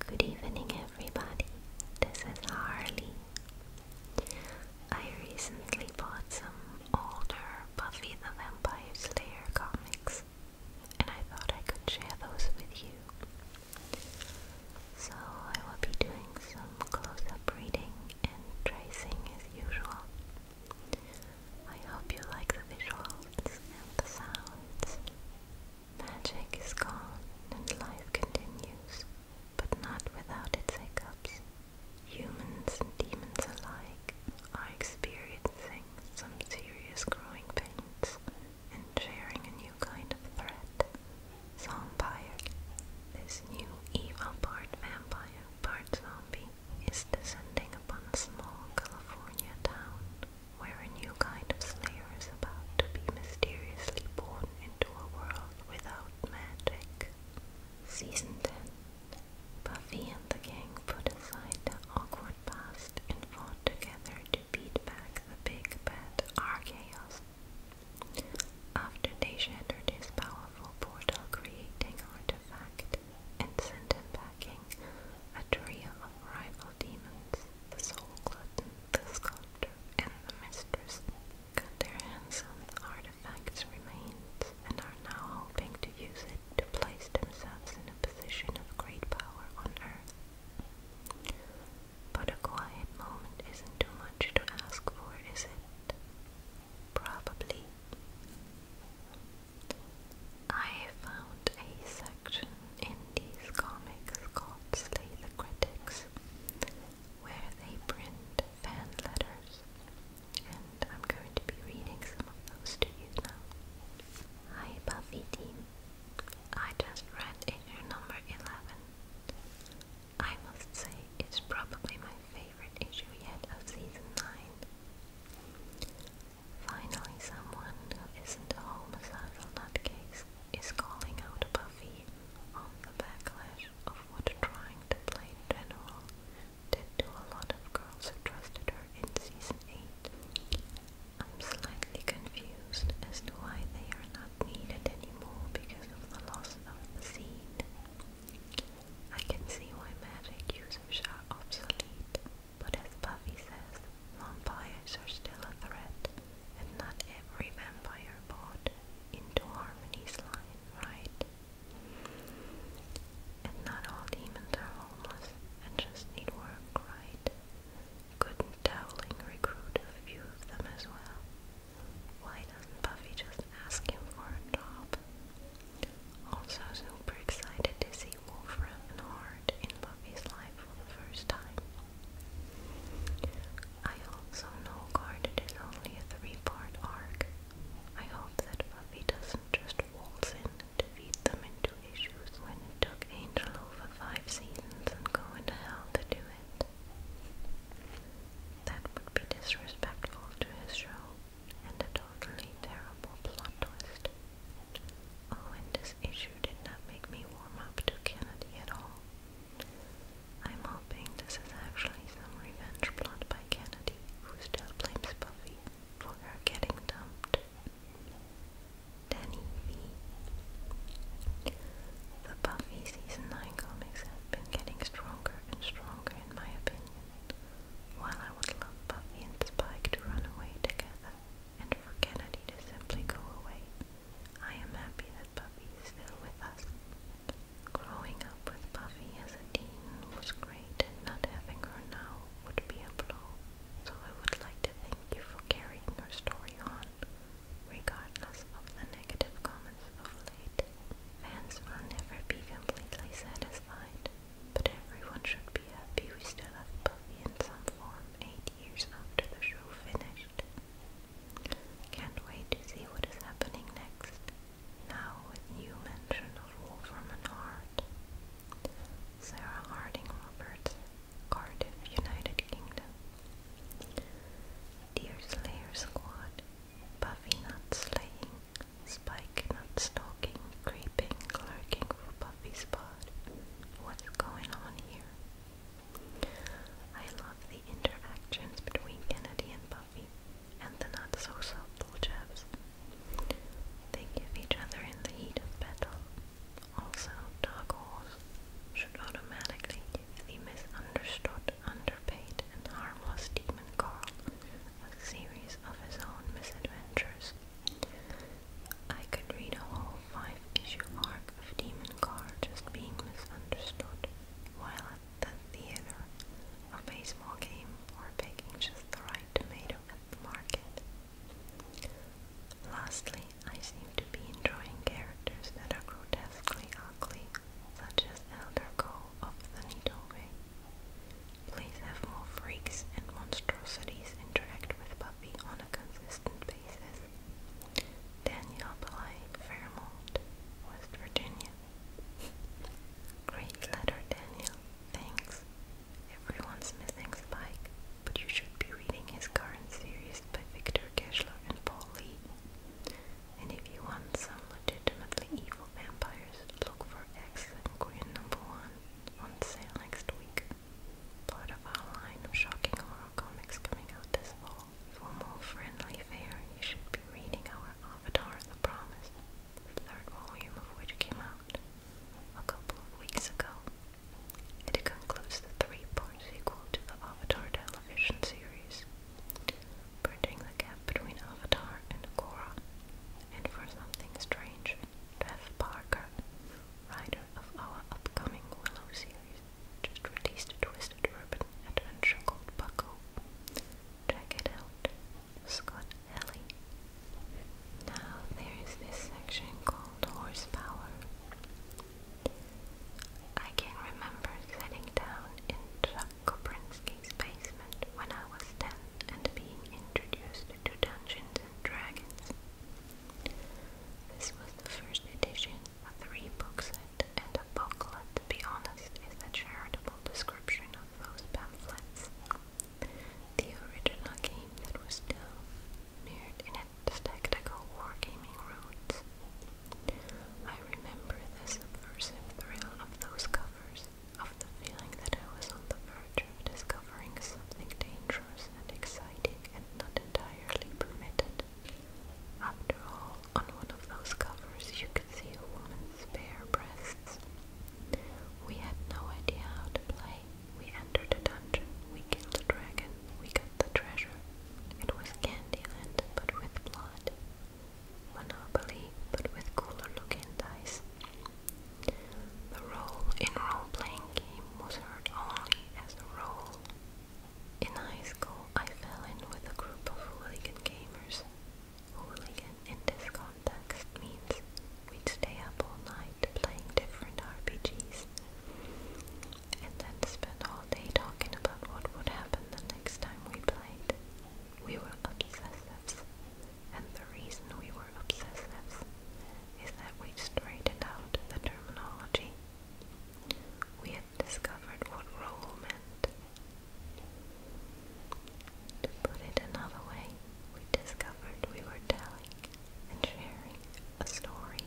Good evening, everybody. This is Harley. I recently bought some older Buffy the Vampire Slayer comics, and I thought I could share those with you. So I will be doing some close up reading and tracing as usual. I hope you like the visuals and the sounds. Magic is gone and life continues, but not without its hiccups. Humans and demons alike are experiencing some serious growing pains and sharing a new kind of threat. Zombire. This new evil part vampire, part zombie is descending upon a small California town where a new kind of slayer is about to be mysteriously born into a world without magic. Season 10 Buffy and the gang put aside their awkward past and fought together to beat back the big bad Archaeos. After they shattered his powerful portal creating artifact and sent him packing, a trio of rival demons, the soul glutton, the sculptor, and the mistress, cut their hands on the artifact's remains and are now hoping to use it to place themselves in a position of great power on earth. But a quiet moment isn't too much to ask for, is it? Probably. I found a section in these comics called Slay the Critics where they print fan letters, and I'm going to be reading some of those to you now. Hi Buffy team, I just read issue number 11. I must say it's probably my favorite issue yet of season 9. Finally, someone who isn't a homicidal nutcase is calling out Buffy on the backlash of what trying to play general did to a lot of girls who trusted her in season 8. I'm slightly confused as to why they are not needed anymore because of the loss of the seed. I can see why magic users are obsolete. But as Buffy says, vampires are still a threat, and not every vampire bought into Harmony's line, right? And not all demons are homeless and just need work, right? could Dowling recruit a few of them as well? Why doesn't Buffy just ask him for a job? Also super excited to see Wolfram and Hart in Buffy's life for the first time. I also know Guarded is only a three-part arc. I hope that Buffy doesn't just waltz in to feed them into issues when it took Angel over five seasons and going to hell to do it. That would be disrespectful to his show and a totally terrible plot twist. Oh, and this issue did not make me warm up to Kennedy at all. I'm hoping this is actually some revenge plot by Kennedy, who still blames Buffy for her getting dumped. Danny V. The Buffy Season 9 comics have been getting stronger and stronger in my opinion. While I would love Buffy and Spike to run away together and for Kennedy to simply go away, I am happy that Buffy is still with us. Growing up with Buffy as a teen was great and not having her now would be a blow, so I would like to thank you for carrying her story on, regardless of the negative comments of late. Fans will never be completely satisfied, but everyone should be happy we still have Buffy in some form eight years after the show finished. Can't wait to see what is happening next, now with new mention of Wolferman Sarah Harding Roberts, Cardiff, United Kingdom. Dear Squad, Buffy not slaying, Spike not stalking, creeping, lurking for Buffy's pod. What's going on here? I love the interactions between Kennedy and Buffy, and the not-so-subtle jabs. They give each other in the heat of battle. Also, dog holes should automatically give the misunderstood, underpaid, and harmless demon Carl a series of his own misadventures. I could read a whole five issue arc of Demon Car just being misunderstood while at the theater, a baseball game, or picking just the right tomato at the market. Lastly, I seem to be enjoying characters that are grotesquely ugly, such as Elder Go of the Nidobe, Please have more freaks and monstrosities interact with Puppy on a consistent basis. Danielle Bly, Fairmont, West Virginia. Great letter, Danielle. Thanks. Everyone's missing Spike, but you should be reading his current series by Victor Geschler and Paul Lee. And if you want some legitimately evil vampires, look for X excellent Green Number One on sale next week. Part of our line of shocking horror comics coming out this fall. For more friendly fare, you should be reading our Avatar The Promise, third volume of which came out a couple of weeks ago. It concludes the three-part sequel to the Avatar television series bridging the gap between Avatar and Korra, and for something strange, Jeff Parker, writer of our upcoming Willow series, just released a twisted urban adventure called Bucko. Check it out, Scott Ellie. Now there is this section called Horsepower. I can remember sitting down in Kobrinsky's basement when I was ten and being introduced to Dungeons and Dragons. This was the first edition, a three-book and a booklet, to be honest, is a charitable description of those pamphlets. The original game that was still mirrored in tactical wargaming rules. I remember the subversive thrill of those covers, of the feeling that I was on the verge of discovering something dangerous and exciting and not entirely permitted. After all, on one of those covers you could see a woman's bare breasts. We had no idea how to play. We entered a dungeon, we killed a dragon, we got the treasure. It was Candyland, but with blood. Monopoly but with cooler looking dice. The role in role playing game was heard only as a role. In high school, I fell in with a group of hooligan gamers. Hooligan in this context means we'd stay up all night playing different RPGs and then spend all day talking about what would happen the next time we played. We were obsessives, and the reason we were obsessives is that we straightened out the terminology. We had discovered what role meant. To put it another way, we discovered we were telling and sharing a story.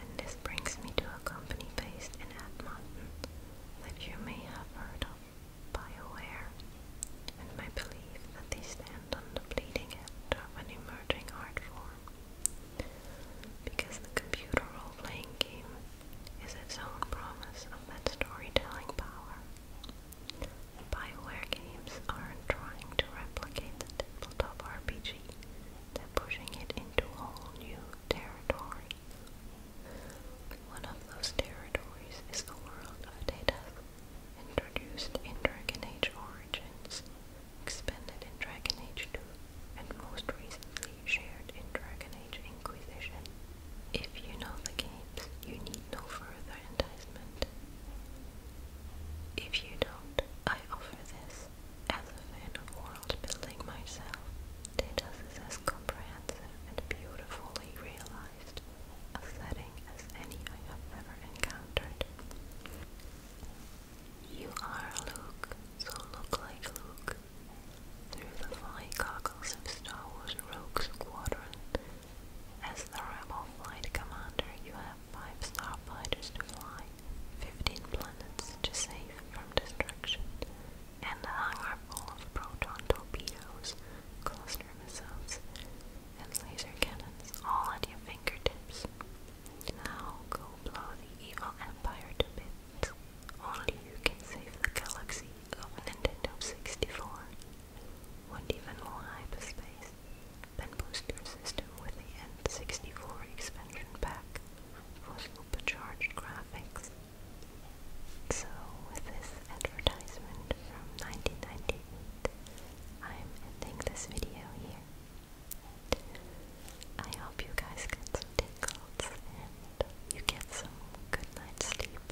And this brings me to a company based in Edmonton that you may have heard of, BioWare, and my belief that they stand on the bleeding edge of an emerging art form. Because the computer role playing game is its own promise of that storytelling power. BioWare games aren't trying to replicate the tabletop RPG, they're pushing it into whole new territory. One of those territories is the world of data, introduced in Dragon Age Origins, expanded in Dragon Age 2, and most recently shared in Dragon Age Inquisition. If you know the games, you need no further enticement. If you don't, I offer this as if in a world building myself. Datus is as comprehensive and beautifully realized a setting as any I have ever encountered. You are Luke, so look like Luke. Through the fly goggles of Star Wars Rogue Squadron, as the Rebel Flight Commander, you have five starfighters to fly. 15 planets to save from destruction, and a hangar full of proton torpedoes, cluster missiles, and laser cannons all at your fingertips. Now go blow the evil empire to bits. Only you can save the galaxy of Nintendo 64. Want even more hyperspace? Then boost your system with the N64 expansion pack for supercharged graphics. So with this advertisement from 1998, I'm ending this video here. I hope you guys get some tingles and you get some good night sleep.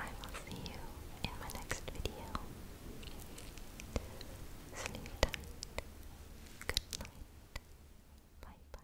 I will see you in my next video. Sleep tight. Good night night. Bye bye.